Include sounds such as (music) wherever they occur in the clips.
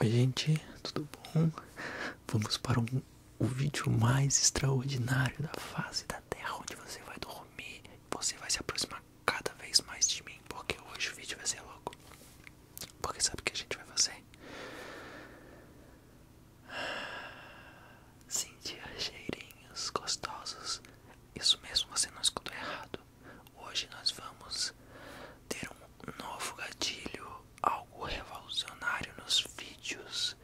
Oi gente, tudo bom? Vamos para um, o vídeo mais extraordinário da fase da Terra, onde você vai dormir, você vai se aproximar cada vez mais de mim, porque hoje o vídeo vai ser logo. Porque sabe o que a gente vai fazer? Sentir cheirinhos gostosos. Isso mesmo, você não escutou errado. Hoje nós vamos ter um novo gatilho, algo revolucionário nos vídeos.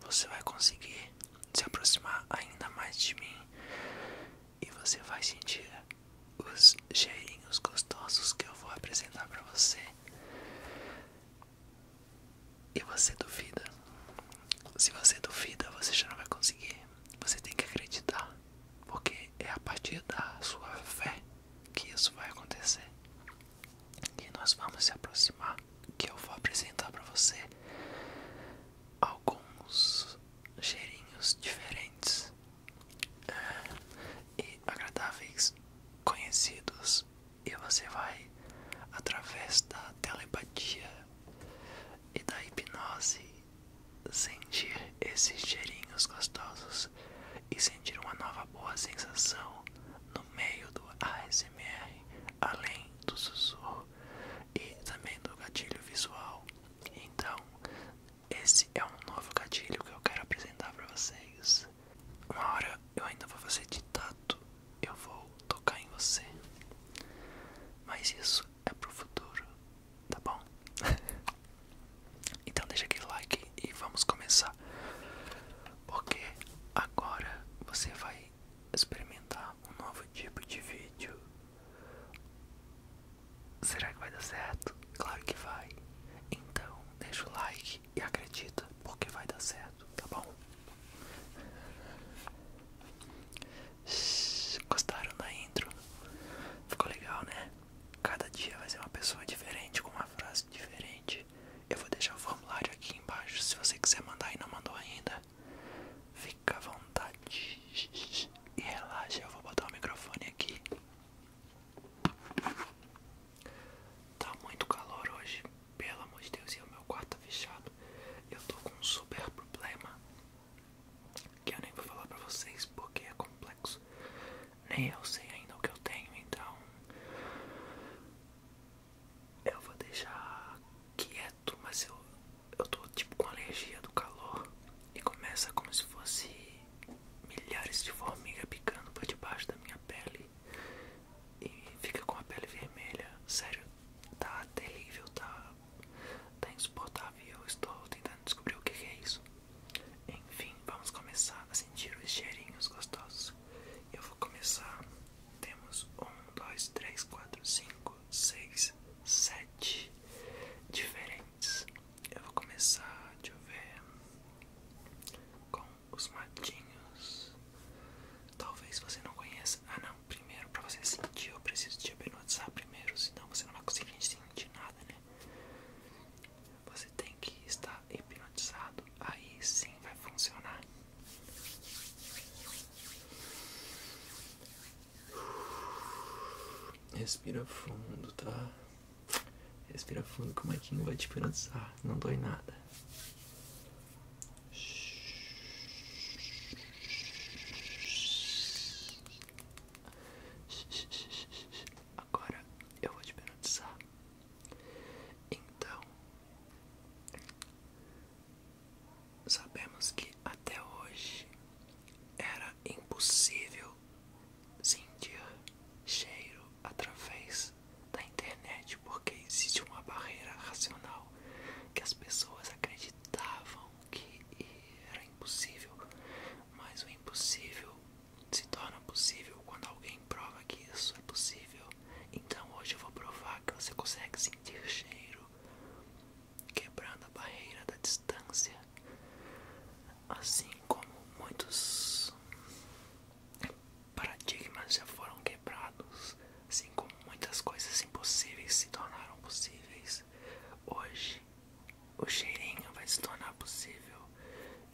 Você vai conseguir se aproximar ainda mais de mim e você vai sentir os cheirinhos gostosos que eu vou apresentar para você e você duvida. Se você duvida, você já não vai conseguir. Você tem que acreditar, porque é a partir da sua fé que isso vai acontecer. que nós vamos se aproximar, que eu vou apresentar para você alguns cheirinhos diferentes e agradáveis conhecidos e você vai através da telepatia e da hipnose sentir esses cheirinhos gostosos e sentir uma nova boa sensação no meio do ASMR, além do sussurro e também do gatilho visual. Então, esse é um novo gatilho que eu quero apresentar para vocês. Uma hora eu ainda vou fazer ditado, eu vou tocar em você. Mas isso é pro futuro, tá bom? (laughs) então deixa aquele like e vamos começar. Porque agora você vai experimentar um novo tipo de vídeo. Será que vai dar certo? Claro que vai. Então, deixa o like e acredita, porque vai dar certo, tá bom? Gostaram da intro? Ficou legal, né? Cada dia vai ser uma pessoa diferente, com uma frase diferente. Eu vou deixar o formulário aqui embaixo, se você quiser mandar e não mandou ainda. Fica à vontade e relaxa, eu vou botar o microfone aqui. Tá muito calor hoje, pelo amor de Deus, e o meu quarto tá fechado. Eu tô com um super problema que eu nem vou falar pra vocês porque é complexo. Nem eu sei ainda o que eu tenho, então eu vou deixar quieto, mas eu, eu tô tipo com alergia do calor e começa como se fosse milhares de formiga picando por debaixo da minha pele e fica com a pele vermelha. Sério, tá terrível, tá, tá insuportável. Eu estou tentando descobrir o que é isso. Enfim, vamos começar a sentir os cheirinhos gostosos. Eu vou começar. Temos um, dois, três, quatro, cinco, seis, sete diferentes. Eu vou começar, deixa eu ver, com os matinhos. Talvez você não conheça. Ah, não. Primeiro, pra você sentir, eu preciso te hipnotizar primeiro, senão você não vai conseguir sentir nada, né? Você tem que estar hipnotizado. Aí sim vai funcionar. Respira fundo, tá? Respira fundo é que o Maquinho vai te pensar. Não dói nada. Agora eu vou te penalizar. Então, sabemos que até hoje era impossível sentir cheiro através da internet, porque existe uma barreira racional que as pessoas acreditavam que era impossível, mas o impossível se torna possível quando alguém prova que isso é possível. Então hoje eu vou provar que você consegue sentir cheiro quebrando a barreira da distância assim como muitos paradigmas já foram quebrados, assim como muitas coisas impossíveis se tornaram possíveis, hoje o cheirinho vai se tornar possível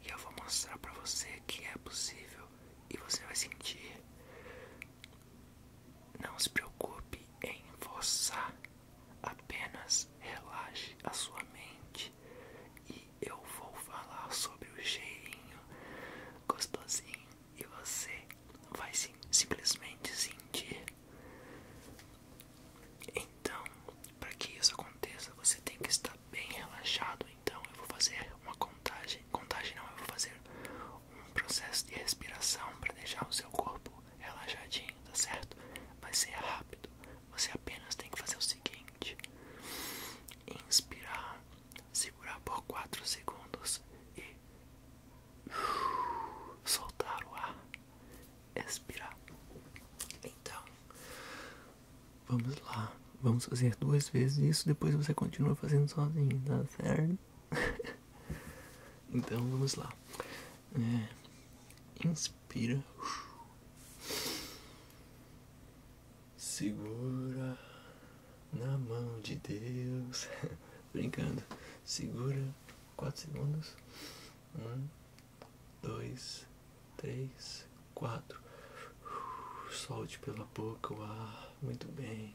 e eu vou mostrar para você que é possível e você vai sentir. Não se preocupe em forçar Apenas relaxe a sua mente e eu vou falar sobre o cheirinho gostosinho e você vai simplesmente sentir. Então, para que isso aconteça, você tem que estar bem relaxado. Então, eu vou fazer uma contagem, contagem não, eu vou fazer um processo de respiração para deixar o seu corpo relaxadinho, tá certo? Vai ser rápido. Você apenas tem que fazer o seguinte: inspirar, segurar por 4 segundos e soltar o ar, expirar. Então, vamos lá. Vamos fazer duas vezes isso, depois você continua fazendo sozinho, tá certo? (laughs) então, vamos lá. É. inspira. Segura na mão de Deus. (laughs) Brincando. Segura. 4 segundos. 1, 2, 3, 4. Solte pela boca o ar. Muito bem.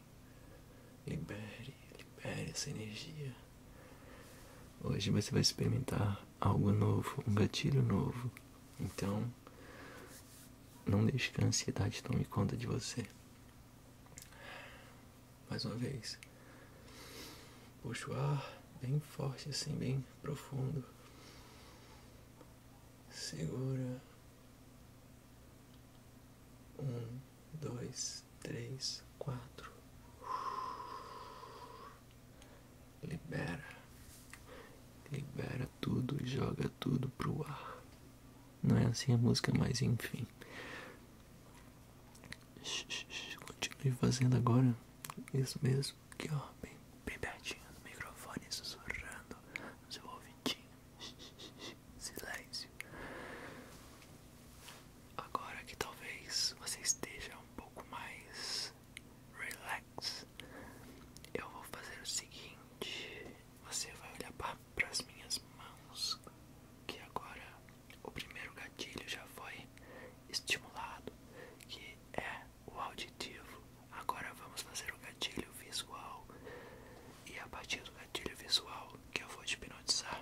Libere, libere essa energia. Hoje você vai experimentar algo novo, um gatilho novo. Então, não deixe que a ansiedade tome conta de você. Mais uma vez. Puxa o ar bem forte, assim, bem profundo. Segura. Um, dois, dois, três, quatro. Libera, libera tudo e joga tudo pro ar. Não é assim a música, mas enfim. Continue fazendo agora. Isso mesmo, aqui ó, bem, bem pertinho do microfone, sussurrando no seu ouvidinho. Silêncio agora que talvez você esteja um pouco mais relax, eu vou fazer o seguinte: você vai olhar para as minhas mãos, que agora o primeiro gatilho já foi estimulado, que é o auditivo. Agora vamos fazer o gatilho visual, e a partir do gatilho visual que eu vou te hipnotizar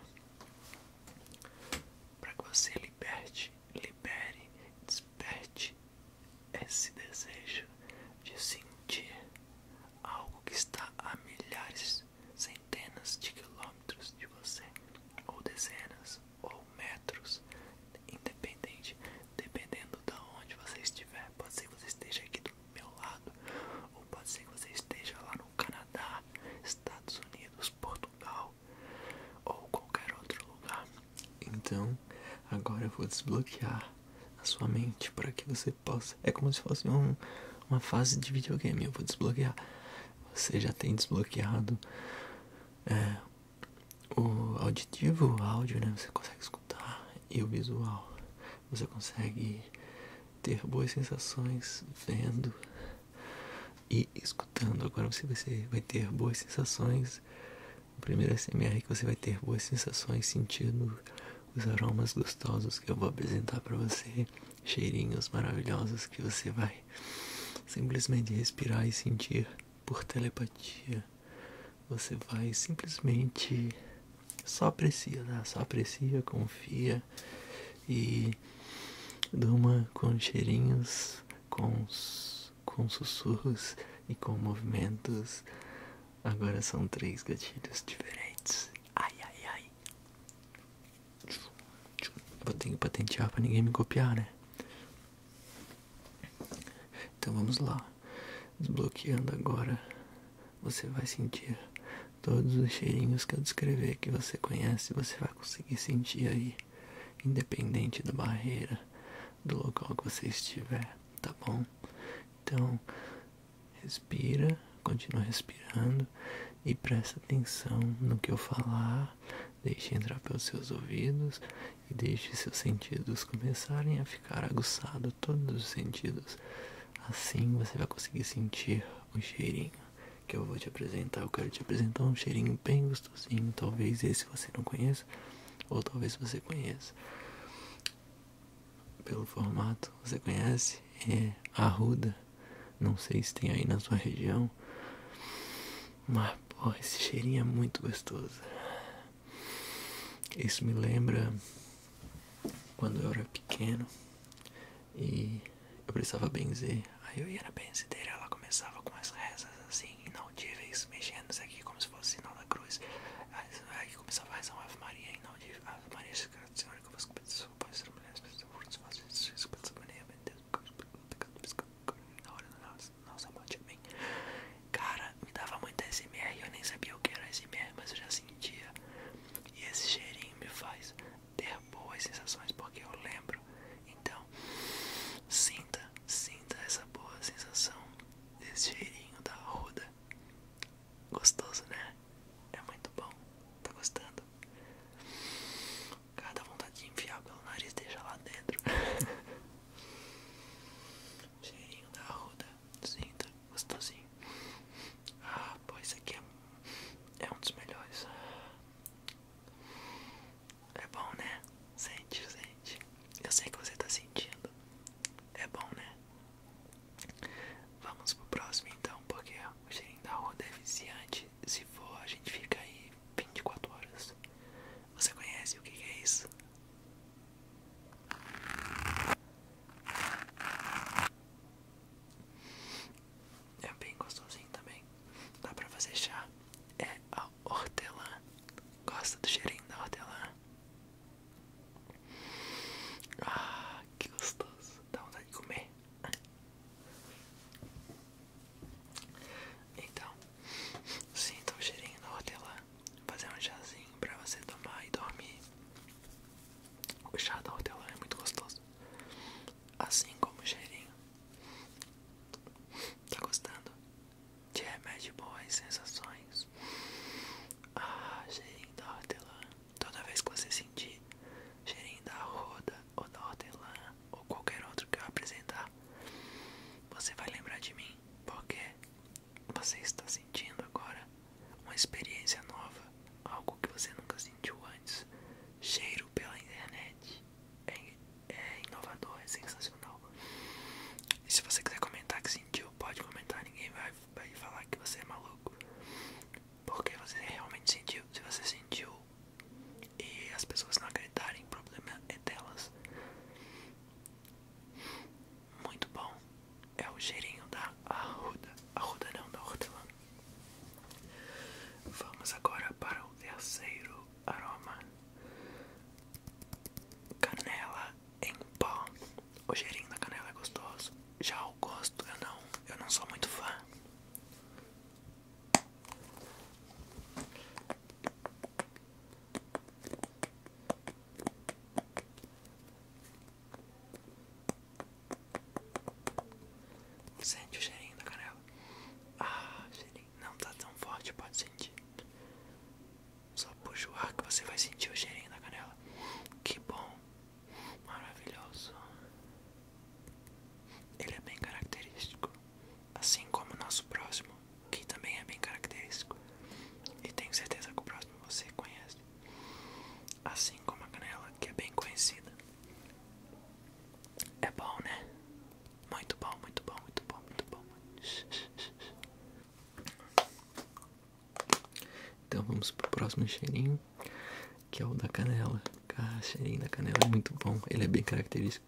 para que você liberte, libere, desperte esse desejo de sentir algo que está a milhares, centenas de quilômetros de você, ou dezenas, ou metros, independente, dependendo de onde você estiver. Pode ser que você esteja aqui do meu lado, ou pode ser que você esteja lá no Canadá, Estados Unidos. Portugal ou qualquer outro lugar. Então, agora eu vou desbloquear a sua mente para que você possa. É como se fosse uma fase de videogame. Eu vou desbloquear. Você já tem desbloqueado é, o auditivo, o áudio, né? Você consegue escutar e o visual. Você consegue ter boas sensações vendo e escutando. Agora você vai, ter boas sensações. O primeiro SMR que você vai ter boas sensações sentindo os aromas gostosos que eu vou apresentar para você, cheirinhos maravilhosos que você vai simplesmente respirar e sentir por telepatia. Você vai simplesmente só aprecia, né? só aprecia, confia e de uma com cheirinhos, com, com sussurros e com movimentos. Agora são três gatilhos diferentes. Ai, ai, ai. Vou ter que patentear para ninguém me copiar, né? Então vamos lá. Desbloqueando agora, você vai sentir Todos os cheirinhos que eu descrever que você conhece, você vai conseguir sentir aí, independente da barreira, do local que você estiver, tá bom? Então, respira, continue respirando e preste atenção no que eu falar, deixe entrar pelos seus ouvidos e deixe seus sentidos começarem a ficar aguçados, todos os sentidos. Assim você vai conseguir sentir o cheirinho que eu vou te apresentar, eu quero te apresentar um cheirinho bem gostosinho. Talvez esse você não conheça, ou talvez você conheça. Pelo formato, você conhece? É arruda. Não sei se tem aí na sua região. Mas, pô, esse cheirinho é muito gostoso. Isso me lembra quando eu era pequeno. E eu precisava benzer. Aí eu ia na benzideira, ela começava com as rezas assim, inaudíveis, mexendo-se aqui como se fosse sinal da cruz. Aí começava a rezar uma Ave Maria inaudível. Ave Maria, Senhora, que eu faço com pessoas, pode ser mulher, se faço isso, com essa maneira, meu Deus, na hora da nossa morte, amém. Cara, me dava muita SMR, eu nem sabia o que era SMR, mas eu já sentia. E esse cheirinho me faz ter boas sensações, porque eu lembro. Então, sinta, sinta essa boa sensação desse cheirinho da ruda Gostoso, né? É muito bom. Tá gostando? Cada vontade de enfiar pelo nariz deixa lá dentro. (laughs) cheirinho da ruda sinta gostosinho. Ah, pô, esse aqui é, é, um dos melhores. É bom, né? Sente, sente. Eu sei que você tá sentindo. É bom, né? Vamos pro próximo então, porque o cheirinho da roda é viciante. Se for, a gente fica aí 24 horas. Você conhece o que é isso? É bem gostosinho também. Dá pra fazer chá. É a hortelã. Gosta do cheirinho da hortelã? Ah, que gostoso. Dá vontade de comer. Então, sinta o cheirinho da hortelã. Vou fazer um chazinho pra você tomar e dormir. O chá da hortelã é muito gostoso. Assim como o cheirinho. Tá gostando? De remédio boas sensações. Ah, cheirinho da hortelã. Toda vez que você sentir cheirinho da roda ou da hortelã ou qualquer outro que eu apresentar, você vai lembrar de mim, porque você está sentindo agora uma experiência nova, algo que você nunca sentiu antes. Cheiro pela internet é, é, inovador, é sensacional. E se você quiser comentar que sentiu, pode comentar, ninguém vai, vai falar que você é maluco. Porque você realmente sentiu, se você sentiu e as pessoas não acreditarem, o problema é delas. Muito bom é o cheirinho da arruda, arruda não, da hortelã. Vamos agora para o terceiro aroma, canela em pó. O cheirinho da canela é gostoso. Já o gosto eu não, eu não sou muito fã. Sente o cheirinho da canela. Ah, cheirinho. Não tá tão forte, pode sentir. Só puxar que você vai sentir o cheirinho da canela. Que bom. Maravilhoso. Ele é bem característico. Assim como o nosso próximo, que também é bem característico. E tenho certeza que o próximo você conhece. Assim como a canela, que é bem conhecida. É bom, né? Muito bom, muito bom, muito bom, muito bom. Então vamos pro próximo cheirinho, que é o da canela. Cara, cheirinho da canela é muito bom, ele é bem característico.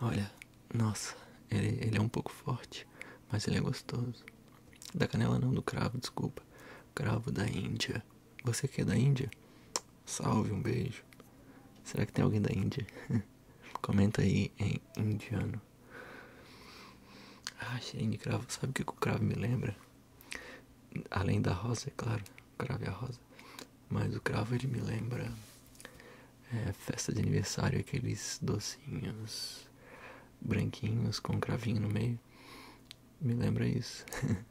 Olha, nossa, ele é um pouco forte, mas ele é gostoso. Da canela não, do cravo, desculpa. Cravo da Índia. Você que é da Índia? Salve, um beijo. Será que tem alguém da Índia? (laughs) Comenta aí em indiano. Ah, cheirinho de cravo. Sabe o que o cravo me lembra? Além da rosa, é claro. O cravo é a rosa. Mas o cravo ele me lembra é, festa de aniversário, aqueles docinhos branquinhos com um cravinho no meio me, lembra isso. (laughs)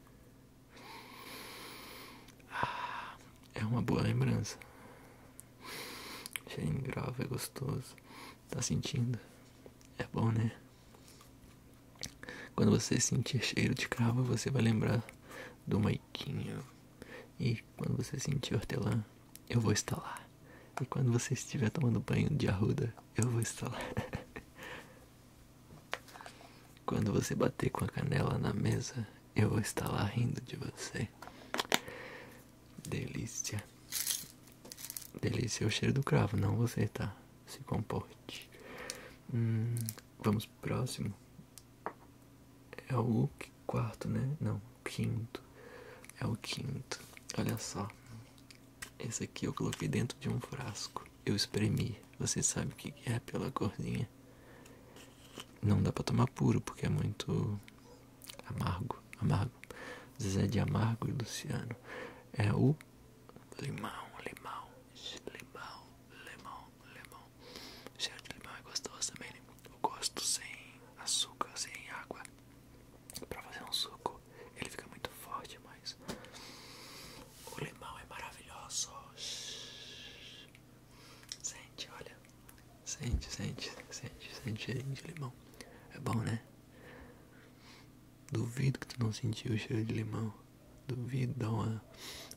Ah, é uma boa lembrança. Cheio de cravo é gostoso. Tá sentindo? É bom, né? Quando você sentir cheiro de cravo, você vai lembrar do Maikinho E quando você sentir hortelã, eu vou estar e quando você estiver tomando banho de arruda, eu vou estar lá. (laughs) quando você bater com a canela na mesa, eu vou estar lá rindo de você. Delícia. Delícia é o cheiro do cravo, não você, tá? Se comporte. Hum, vamos pro próximo. É o quarto, né? Não, quinto. É o quinto. Olha só. Esse aqui eu coloquei dentro de um frasco. Eu espremi. Você sabe o que é pela corzinha. Não dá pra tomar puro porque é muito amargo. Amargo. zé de Amargo e Luciano. É o limão, limão, limão, limão, limão. Cheiro de limão é gostoso também. Né? Eu gosto sem açúcar, sem água. Pra fazer um suco Ele fica muito forte, mas O limão é maravilhoso Sente, olha Sente, sente, sente, sente cheiro de limão É bom, né? Duvido que tu não sentiu o cheiro de limão Duvido, dá uma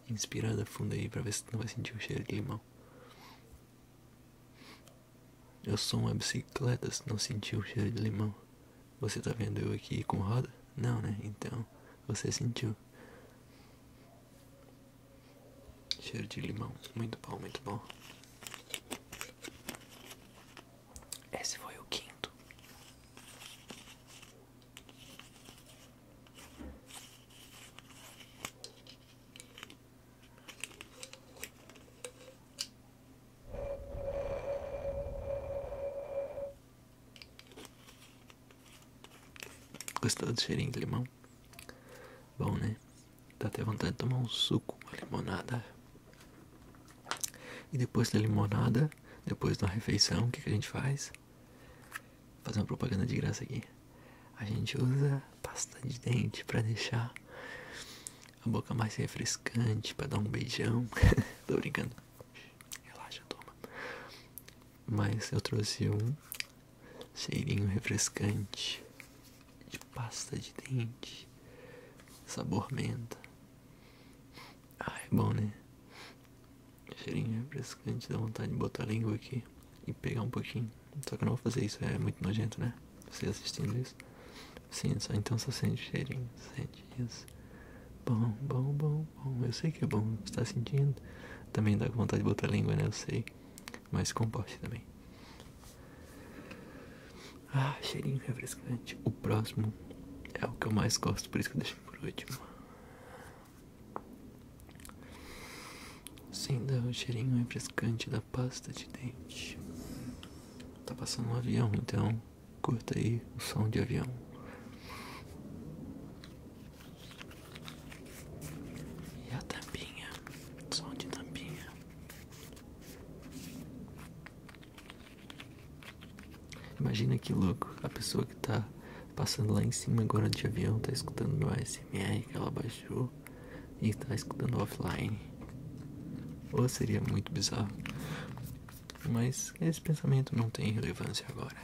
inspirada funda aí pra ver se tu não vai sentir o cheiro de limão eu sou uma bicicleta, se não sentiu o cheiro de limão. Você tá vendo eu aqui com roda? Não, né? Então, você sentiu. Cheiro de limão. Muito bom, muito bom. Esse foi o quinto. Gostou do cheirinho de limão? Bom, né? Dá até vontade de tomar um suco, uma limonada. E depois da limonada, depois da refeição, o que, a gente faz? Vou fazer uma propaganda de graça aqui. A gente usa pasta de dente para deixar a boca mais refrescante para dar um beijão. (laughs) tô brincando. Relaxa, toma. Mas eu trouxe um cheirinho refrescante de pasta de dente, sabor menta. ai ah, é bom, né? Cheirinho refrescante, dá vontade de botar a língua aqui e pegar um pouquinho. Só que eu não vou fazer isso, é muito nojento, né? Você assistindo isso. Sim, então só sente cheirinho, sente isso. Bom, bom, bom, bom. Eu sei que é bom, você tá sentindo. Também dá vontade de botar a língua, né? Eu sei. Mas comporte também. Ah, cheirinho refrescante. O próximo é o que eu mais gosto, por isso que eu deixei por último. Sim, dá o cheirinho refrescante cante da pasta de dente. Tá passando um avião, então curta aí o som de avião. E a tampinha, som de tampinha. Imagina que louco, a pessoa que está passando lá em cima agora de avião tá escutando no ASMR que ela baixou e tá escutando offline. Ou seria muito bizarro. Mas esse pensamento não tem relevância agora.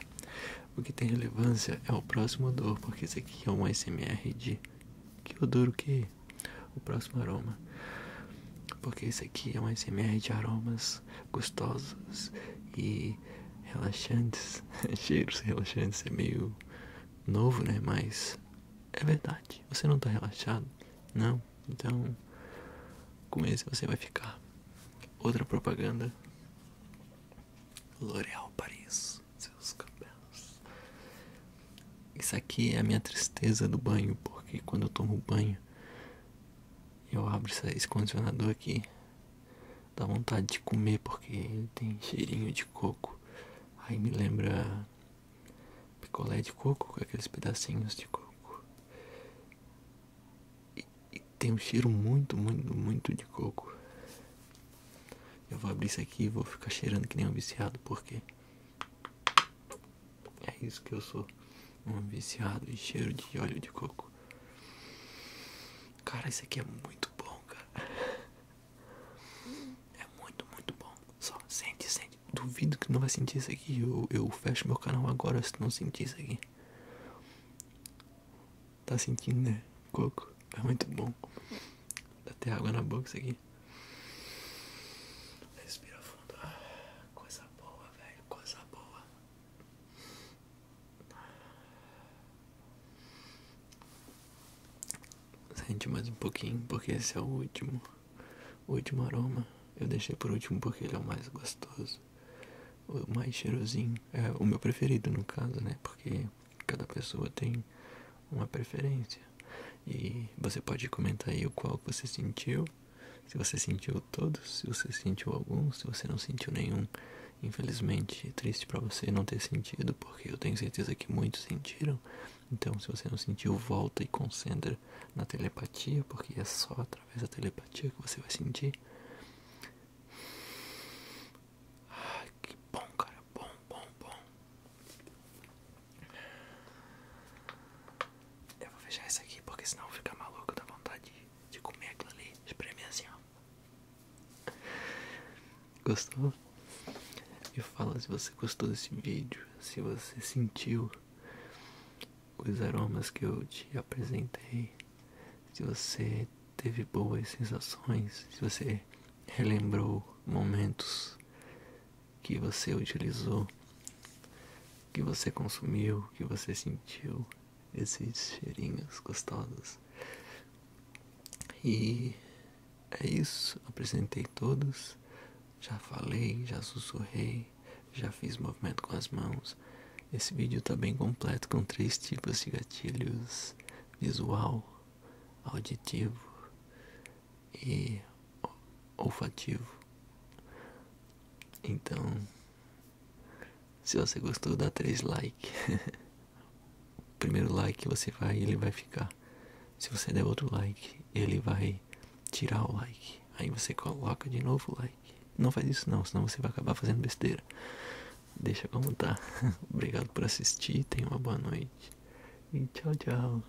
O que tem relevância é o próximo odor, porque esse aqui é um SMR de que odor o que? O próximo aroma. Porque esse aqui é um SMR de aromas gostosos e relaxantes. (laughs) Cheiros relaxantes é meio novo, né? Mas é verdade. Você não tá relaxado? Não? Então, com esse você vai ficar. Outra propaganda. L'Oréal Paris. Seus cabelos. Isso aqui é a minha tristeza do banho, porque quando eu tomo banho, eu abro esse condicionador aqui. Dá vontade de comer porque ele tem cheirinho de coco. Aí me lembra picolé de coco, com aqueles pedacinhos de coco. E, tem um cheiro muito, muito, muito de coco. Eu vou abrir isso aqui e vou ficar cheirando que nem um viciado, porque é isso que eu sou. Um viciado em cheiro de óleo de coco. Cara, isso aqui é muito bom, cara. É muito, muito bom. Só sente, sente. Duvido que não vai sentir isso aqui. Eu, eu fecho meu canal agora se não sentir isso aqui. Tá sentindo, né? Coco. É muito bom. Dá até água na boca isso aqui. Respira fundo. Ah, coisa boa, velho. Coisa boa. Sente mais um pouquinho, porque esse é o último, o último aroma. Eu deixei por último porque ele é o mais gostoso, o mais cheirosinho. É o meu preferido no caso, né? Porque cada pessoa tem uma preferência. E você pode comentar aí o qual você sentiu. Se você sentiu todos, se você sentiu alguns, se você não sentiu nenhum. Infelizmente, triste para você não ter sentido, porque eu tenho certeza que muitos sentiram. Então, se você não sentiu, volta e concentre na telepatia, porque é só através da telepatia que você vai sentir. Ah, que bom, cara, bom, bom, bom. Eu vou fechar isso aqui, porque senão vou ficar maluco da vontade de comer aquilo ali. Espreme assim, ó. Gostou? Me fala se você gostou desse vídeo, se você sentiu os aromas que eu te apresentei, se você teve boas sensações, se você relembrou momentos que você utilizou, que você consumiu, que você sentiu esses cheirinhos gostosos. E é isso. Apresentei todos, já falei, já sussurrei, já fiz movimento com as mãos. Esse vídeo está bem completo com três tipos de gatilhos: visual, auditivo e olfativo. Então, se você gostou, dá três like. (laughs) primeiro like você vai, ele vai ficar. Se você der outro like, ele vai tirar o like. Aí você coloca de novo o like. Não faz isso não, senão você vai acabar fazendo besteira. Deixa como tá. (laughs) Obrigado por assistir, tenha uma boa noite. E tchau, tchau.